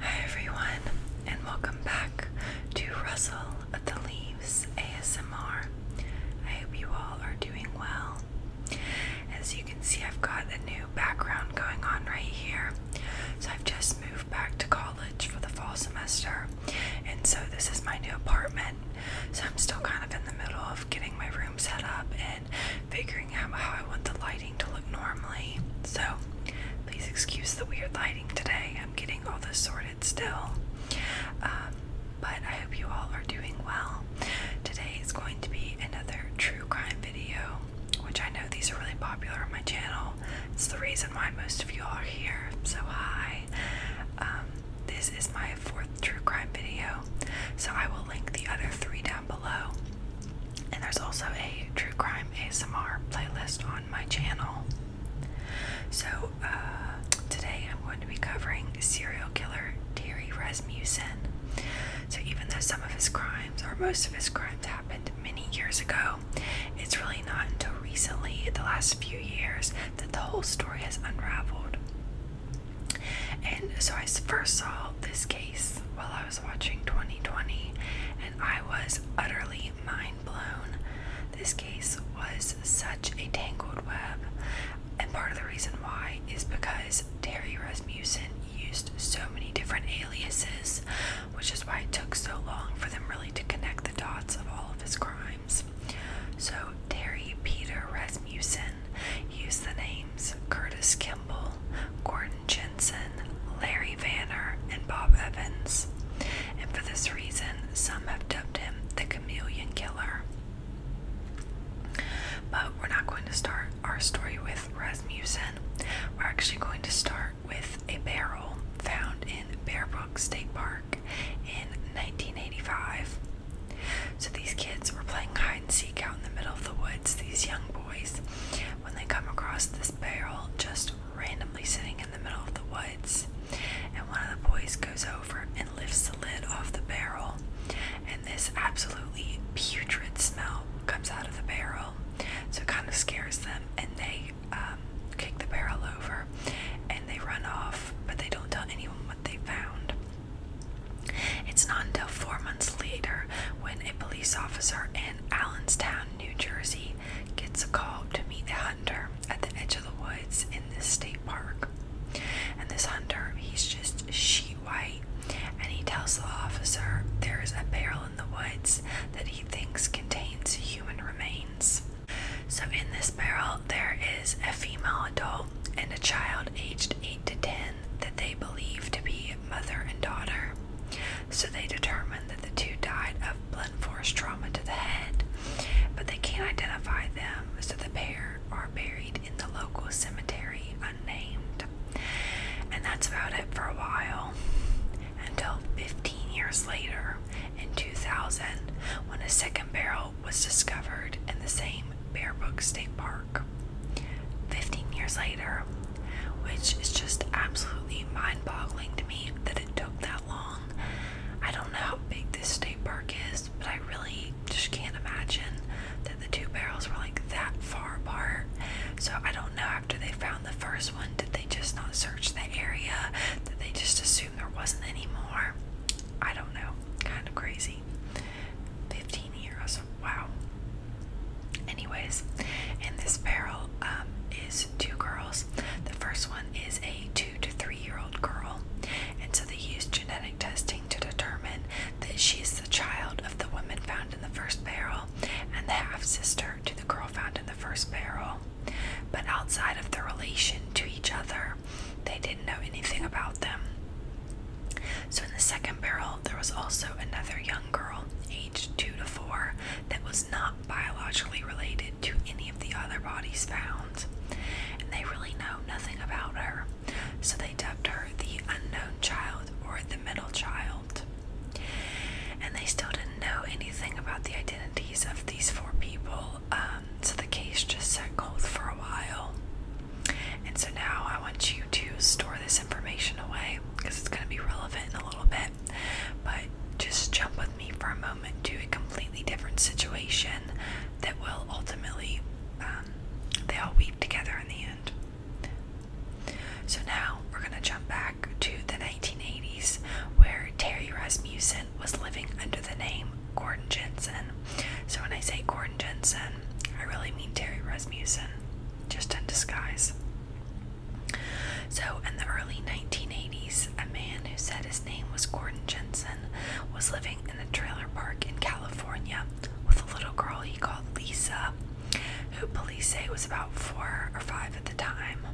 Hi everyone, and welcome back to Russell of the Leaves ASMR. I hope you all are doing well. As you can see, I've got a new background going on right here. So I've just moved back to college for the fall semester, and so this is my new apartment. So I'm still kind of in the middle of getting my room set up and figuring out how I want the lighting to look normally. So please excuse the weird lighting today. I'm getting all this sorted still. Um, but I hope you all are doing well. Today is going to be another true crime video, which I know these are really popular on my channel. It's the reason why most of you all are here. So, hi. Um, this is my fourth true crime video, so I will link the other three down below. And there's also a true crime ASMR playlist on my channel. So uh, today I'm going to be covering serial killer Terry Rasmussen. So even though some of his crimes, or most of his crimes, happened many years ago, it's really not until recently, the last few years, that the whole story has unraveled. And so I first saw this case while I was I was watching 2020 and I was utterly mind blown. This case was such a tangled web, and part of the reason why is because Terry Rasmussen used so many different aliases, which is why it took so long for them really to connect the dots of all of his crimes. So, Terry Peter Rasmussen used the names Curtis Kimball. Gordon Jensen, Larry Vanner, and Bob Evans, and for this reason, some have dubbed him the Chameleon Killer. But we're not going to start our story with Rasmussen. We're actually going to start with a barrel found in Bear Brook State Park in 1985. So these kids were playing hide and seek out in the middle of the woods, these young boys, when they come across this barrel just randomly sitting in the middle of the woods. And one of the boys goes over and lifts the lid off the barrel, and this absolutely putrid smell comes out of the barrel. So it kind of scares them, and they um, kick the barrel over and they run off, but they don't tell anyone what they found. It's not until four months later when a police officer in Allentown. New Jersey, gets a call to meet the hunter at the edge of the woods in this state park. And this hunter, he's just sheet white, and he tells the officer there is a barrel in the woods that he thinks contains human remains. So, in this barrel, there is a female adult and a child aged 8 to 10 that they believe to be mother and daughter so they determined that the two died of blunt force trauma to the head, but they can't identify them, so the pair are buried in the local cemetery unnamed. And that's about it for a while, until 15 years later, in 2000, when a second barrel was discovered in the same Bear Brook State Park. 15 years later, which is just absolutely mind boggling to me that it took that long. I don't know how big this state park is, but I really just can't imagine that the two barrels were like that far apart. So I don't know after they found the first one, did they just not search the area? Did they just assume there wasn't any more? I don't know. Kind of crazy. 15 years. Wow. Anyways, in this barrel um, is two girls. The first one is a two to three year old girl, and so they used genetic testing to determine that she is the child of the woman found in the first barrel and the half sister to the girl found in the first barrel. But outside of the relation to each other, they didn't know anything about them. So in the second barrel, there was also another young girl, aged two to four, that was not biologically related to any of the other bodies found. And they really know nothing about her, so they dubbed her the unknown child or the middle child. And they still didn't know anything about the identities of these four people, um, so the case just sat cold for a while. And so now I want you to store this information away because it's going to be relevant in a little bit. But just jump with me for a moment to a completely different situation that will ultimately, um, they all weave together in the end. So now we're going to jump back to the 1980s where Terry Rasmussen was living under the name Gordon Jensen. So when I say Gordon Jensen, I really mean Terry Rasmussen, just in disguise. So, in the early 1980s, a man who said his name was Gordon Jensen was living in a trailer park in California with a little girl he called Lisa, who police say was about four or five at the time.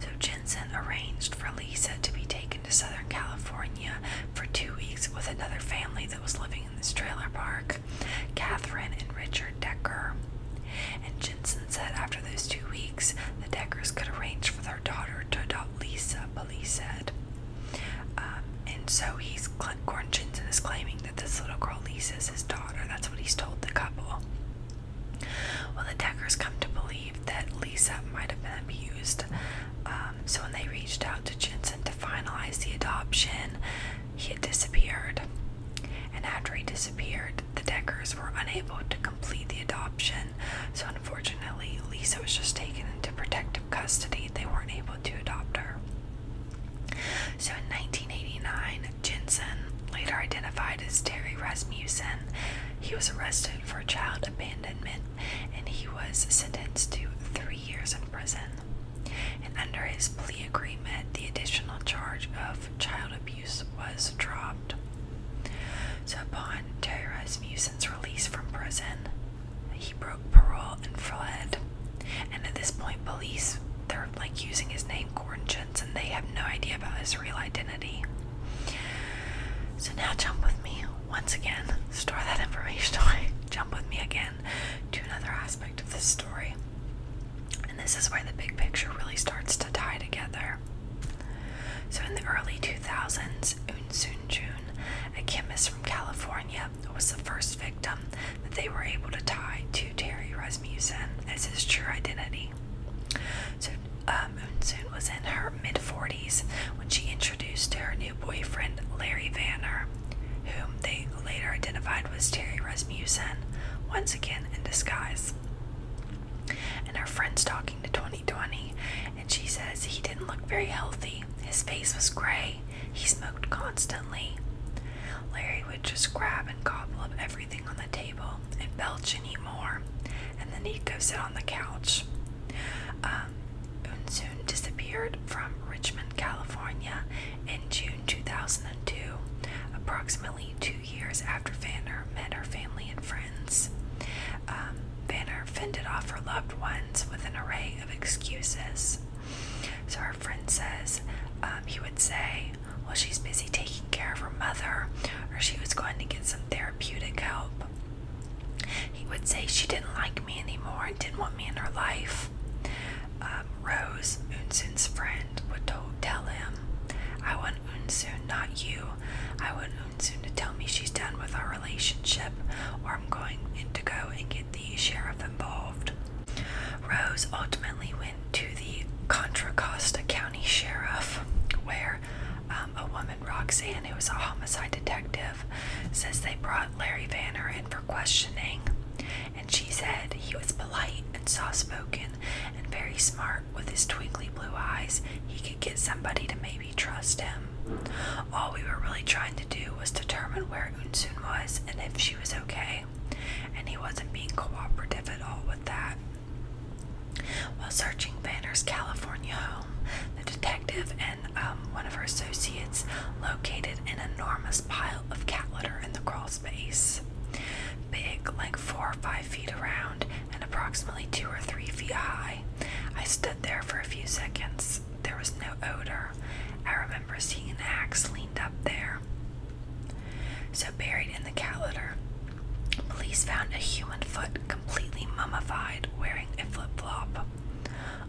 So, Jensen arranged for Lisa to be taken to Southern California for two weeks with another family that was living in this trailer park. Catherine and Richard Decker. And Jensen said after those two weeks, the Deckers could arrange for their daughter to adopt Lisa, police said. Um, and so he's, Gordon Jensen is claiming that this little girl Lisa is his daughter. That's what he's told the couple. Well, the Deckers come to believe that Lisa might have been abused. Um, so when they reached out to Jensen to finalize the adoption, he had disappeared. And after he dis the Deckers were unable to complete the adoption, so unfortunately, Lisa was just taken into protective custody. They weren't able to adopt her. So in 1989, Jensen, later identified as Terry Rasmussen, he was arrested for child abandonment and he was sentenced to three years in prison. And under his plea agreement, the additional charge of child abuse was dropped. So, upon terrorized Musin's release from prison, he broke parole and fled. And at this point, police they're like using his name Gordon Jensen. They have no idea about his real identity. So now jump with me once again. Store that information away. Jump with me again to another aspect of this story. And this is where the big picture really starts to tie together. So, in the early 2000s, Eunsoon Jun, a chemist from California, was the first victim that they were able to tie to Terry Rasmussen as his true identity. So, um, was in her mid 40s when she introduced to her new boyfriend, Larry Vanner, whom they later identified was Terry Rasmussen, once again in disguise. And her friend's talking to 2020, and she says he didn't look very healthy. His face was gray. He smoked constantly. Larry would just grab and gobble up everything on the table and belch and eat more, and then he'd go sit on the couch. Um, Unsoon disappeared from Richmond, California in June 2002, approximately only two years after Vanner met her family and friends. Um, Vanner fended off her loved ones with an array of excuses. So her friend says um, he would say, well, she's busy taking care of her mother, or she was going to get some therapeutic help. He would say she didn't like me anymore and didn't want me in her life. Um, Rose, Unsoon's friend, would tell him, I want Unsoon, not you. I want Unsoon to tell me she's done with our relationship, or I'm going to go and get the sheriff involved. Rose ultimately went to the Contra Costa County Sheriff, where um, a woman, Roxanne, who was a homicide detective, says they brought Larry Vanner in for questioning and she said he was polite and soft spoken and very smart with his twinkly blue eyes. He could get somebody to maybe trust him. All we were really trying to do was determine where Unsoon was and if she was okay, and he wasn't being cooperative at all with that. While searching Vanner's California home, the detective and um, one of her associates located an enormous pile of cat litter in the crawl space. Big, like four or five feet around and approximately two or three feet high. I stood there for a few seconds. There was no odor. I remember seeing an axe leaned up there. So, buried in the cat litter, police found a human foot completely mummified wearing a flip flop.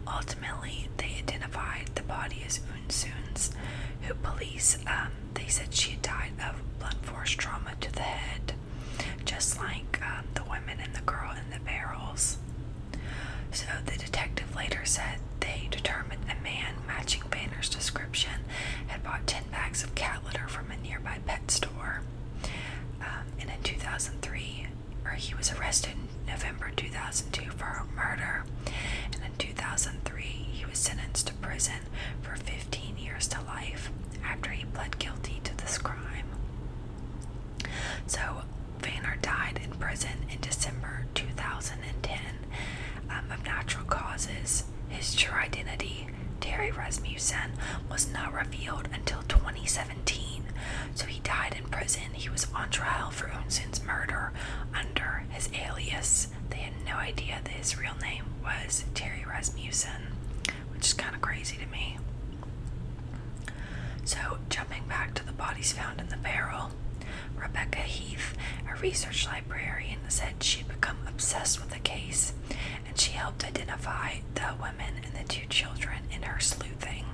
Ultimately, they identified the body as Moonsoons, who police, um, they said she had died of blunt force trauma to the head, just like um, the women and the girl in the barrels. So the detective later said they determined a man matching Banner's description had bought 10 bags of cat litter from a nearby pet store. and um, in 2003, or he was arrested in November 2002 for murder. And in 2003, he was sentenced to prison for 15 years to life after he pled guilty to this crime. So, Vanner died in prison in December 2010 um, of natural causes. His true identity, Terry Rasmussen, was not revealed until 2017. So he died in prison. He was on trial for Unsin's murder under his alias they had no idea that his real name was Terry Rasmussen, which is kind of crazy to me. So, jumping back to the bodies found in the barrel, Rebecca Heath, a research librarian, said she'd become obsessed with the case and she helped identify the women and the two children in her sleuthing.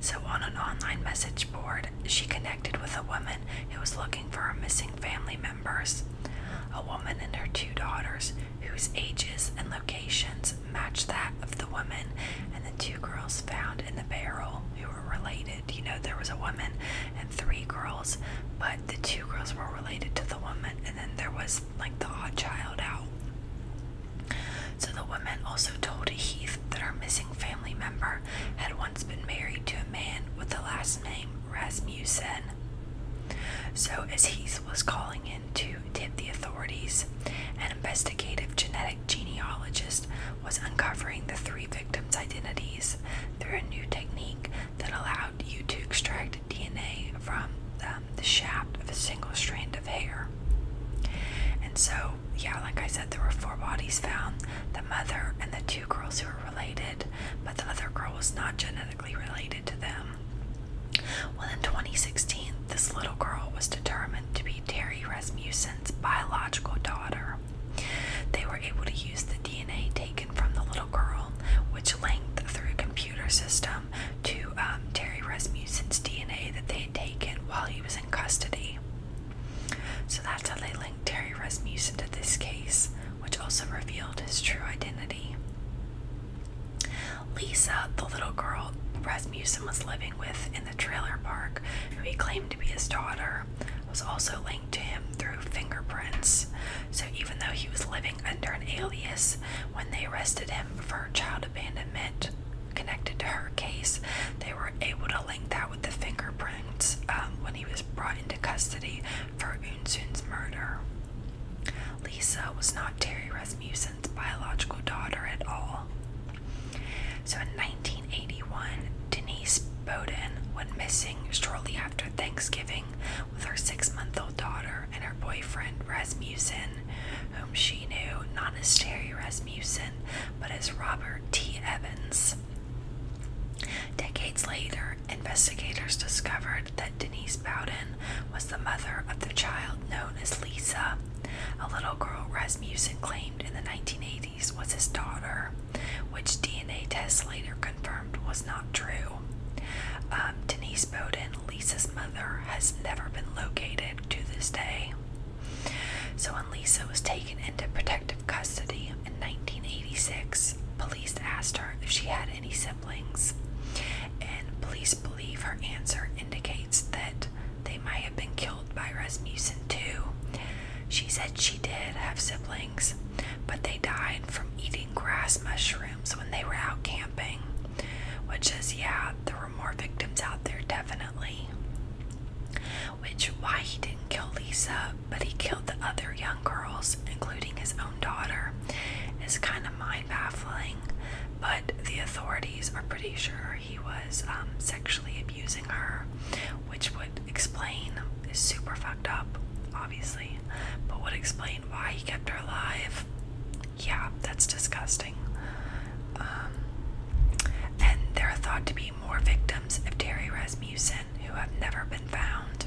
So, on an online message board, she connected with a woman who was looking for her missing family members. A woman and her two daughters, whose ages and locations matched that of the woman and the two girls found in the barrel who were related. You know, there was a woman and three girls, but the two girls were related to the woman, and then there was like the odd child out. So the woman also told Heath that her missing family member had once been married to a man with the last name Rasmussen. So, as he was calling in to tip the authorities, an investigative genetic genealogist was uncovering the three victims' identities through a new technique that allowed you to extract DNA from um, the shaft of a single strand of hair. And so, yeah, like I said, there were four bodies found the mother and the two girls who were related, but the other girl was not genetically related to them. Well, in 2016, this little girl was determined to be Terry Rasmussen's biological daughter. They were able to use the DNA taken from the little girl, which linked through a computer system to um, Terry Rasmussen's DNA that they had taken while he was in custody. So that's how they linked Terry Rasmussen to this case which also revealed his true identity. Lisa, the little girl Rasmussen was living with in the trailer park, who he claimed to be his daughter, was also linked to him through fingerprints. So even though he was living under an alias, when they arrested him for child abandonment connected to her case, they were able to link that with the fingerprints um, when he was brought into custody for Unsoon's murder. Lisa was not Terry Rasmussen's biological daughter at all. So in 1981, Denise Bowden went missing shortly after Thanksgiving with her six month old daughter and her boyfriend Rasmussen, whom she knew not as Terry Rasmussen but as Robert T. Evans. Decades later, investigators discovered that Denise Bowden was the mother of the child known as Lisa, a little girl Rasmussen claimed in the 1980s was his daughter, which DNA tests later confirmed was not true. Um, Denise Bowden, Lisa's mother, has never been located to this day. So when Lisa was taken into of custody in 1986. Police asked her if she had any siblings, and police believe her answer indicates that they might have been killed by Rasmussen too. She said she did have siblings, but they died from eating grass mushrooms when they were out camping, which is, yeah, there were more victims out there, definitely. Which, why he didn't kill Lisa but he killed the other young girls, including his own daughter. It's kind of mind baffling, but the authorities are pretty sure he was um, sexually abusing her, which would explain is super fucked up, obviously, but would explain why he kept her alive. Yeah, that's disgusting. Um, and there are thought to be more victims of Terry Rasmussen who have never been found.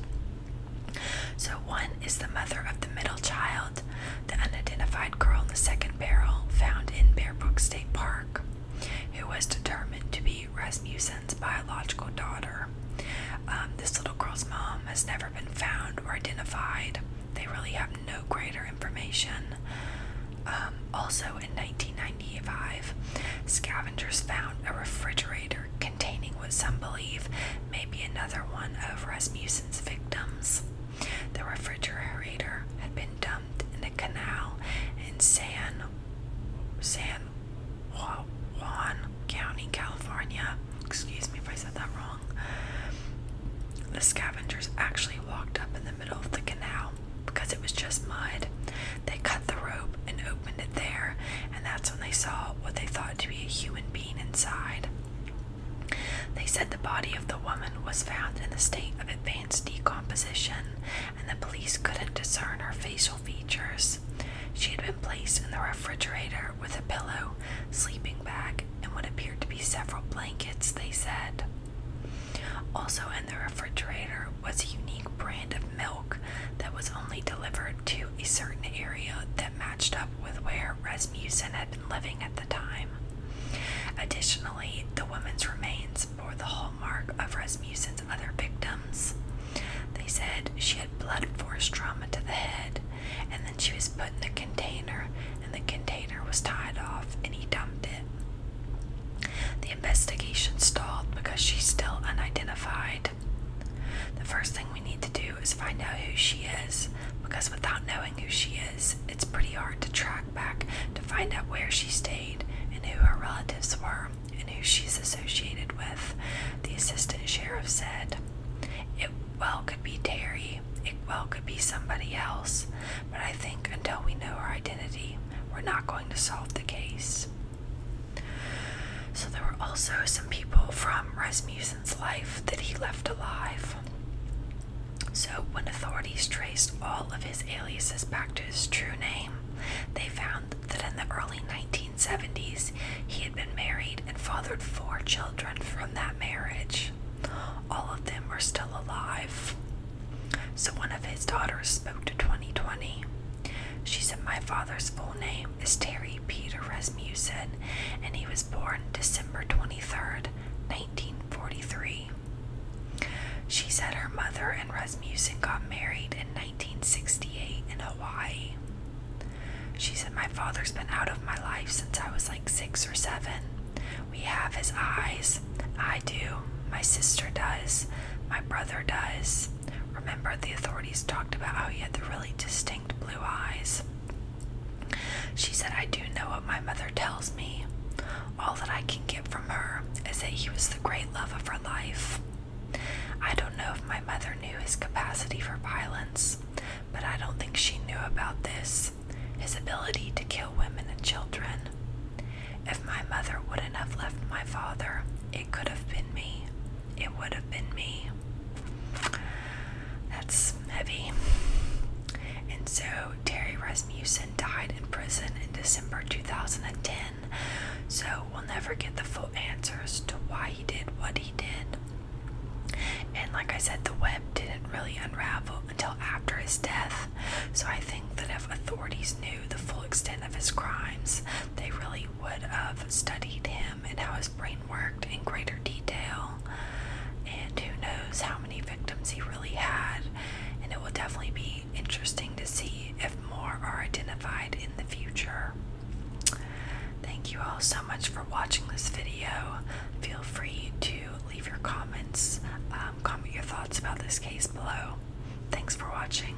So, one is the mother of the middle child, the unidentified girl in the second barrel found in Bear Brook State Park, who was determined to be Rasmussen's biological daughter. Um, this little girl's mom has never been found or identified. They really have no greater information. Um, also in 1990, 1895, scavengers found a refrigerator containing what some believe may be another one of Rasmussen's victims. The refrigerator had been dumped in the canal in San San Juan County, California. Excuse me if I said that wrong. The scavengers actually walked up in the middle of the canal because it was just mud. They cut the rope and opened it there, and that's when they saw what they thought to be a human being inside. They said the body of the woman was found in a state of advanced decomposition, and the police couldn't discern her facial features. She had been placed in the refrigerator with a pillow, sleeping bag, and what appeared to be several blankets, they said. Also in the refrigerator was a unique brand of milk that was only delivered to a certain area that matched up with where Rasmussen had been living at the time. Additionally, the woman's remains bore the hallmark of Rasmussen's other victims. They said she had blood force trauma to the head, and then she was put in a container, and the container was tied off, and he dumped it. The investigation stalled because she's still unidentified. The first thing we need to do is find out who she is, because without knowing who she is, it's pretty hard to track back to find out where she stayed and who her relatives were and who she's associated with, the assistant sheriff said. It well could be Terry, it well could be somebody else, but I think until we know her identity, we're not going to solve the case. So there were also some people from Rasmussen's life that he left alive. So when authorities traced all of his aliases back to his true name, they found that in the early 1970s he had been married and fathered four children from that marriage. All of them are still alive. So one of his daughters spoke to 2020. She said my father's full name is Terry Peter Rasmussen, and he was born December 23rd, 1943. She said her mother and Rasmussen got married in 1968 in Hawaii. She said, My father's been out of my life since I was like six or seven. We have his eyes. I do. My sister does. My brother does. Remember, the authorities talked about how he had the really distinct blue eyes. She said, I do know what my mother tells me. All that I can get from her is that he was the great love of her life. I don't know if my mother knew his capacity for violence, but I don't think she knew about this his ability to kill women and children. If my mother wouldn't have left my father, it could have been me it would have been me. That's heavy. And so Terry Rasmussen died in prison in December 2010. So we'll never get the full answers to why he did what he did. And like I said, the web didn't really unravel until after his death. So I think that if authorities knew the full extent of his crimes, they really would have studied him and how his brain worked in greater detail. And who knows how many victims he really had. And it will definitely be interesting to see if more are identified in the future. Thank you all so much for watching this video. Feel free to leave your comments, um, comment your thoughts about this case below. Thanks for watching.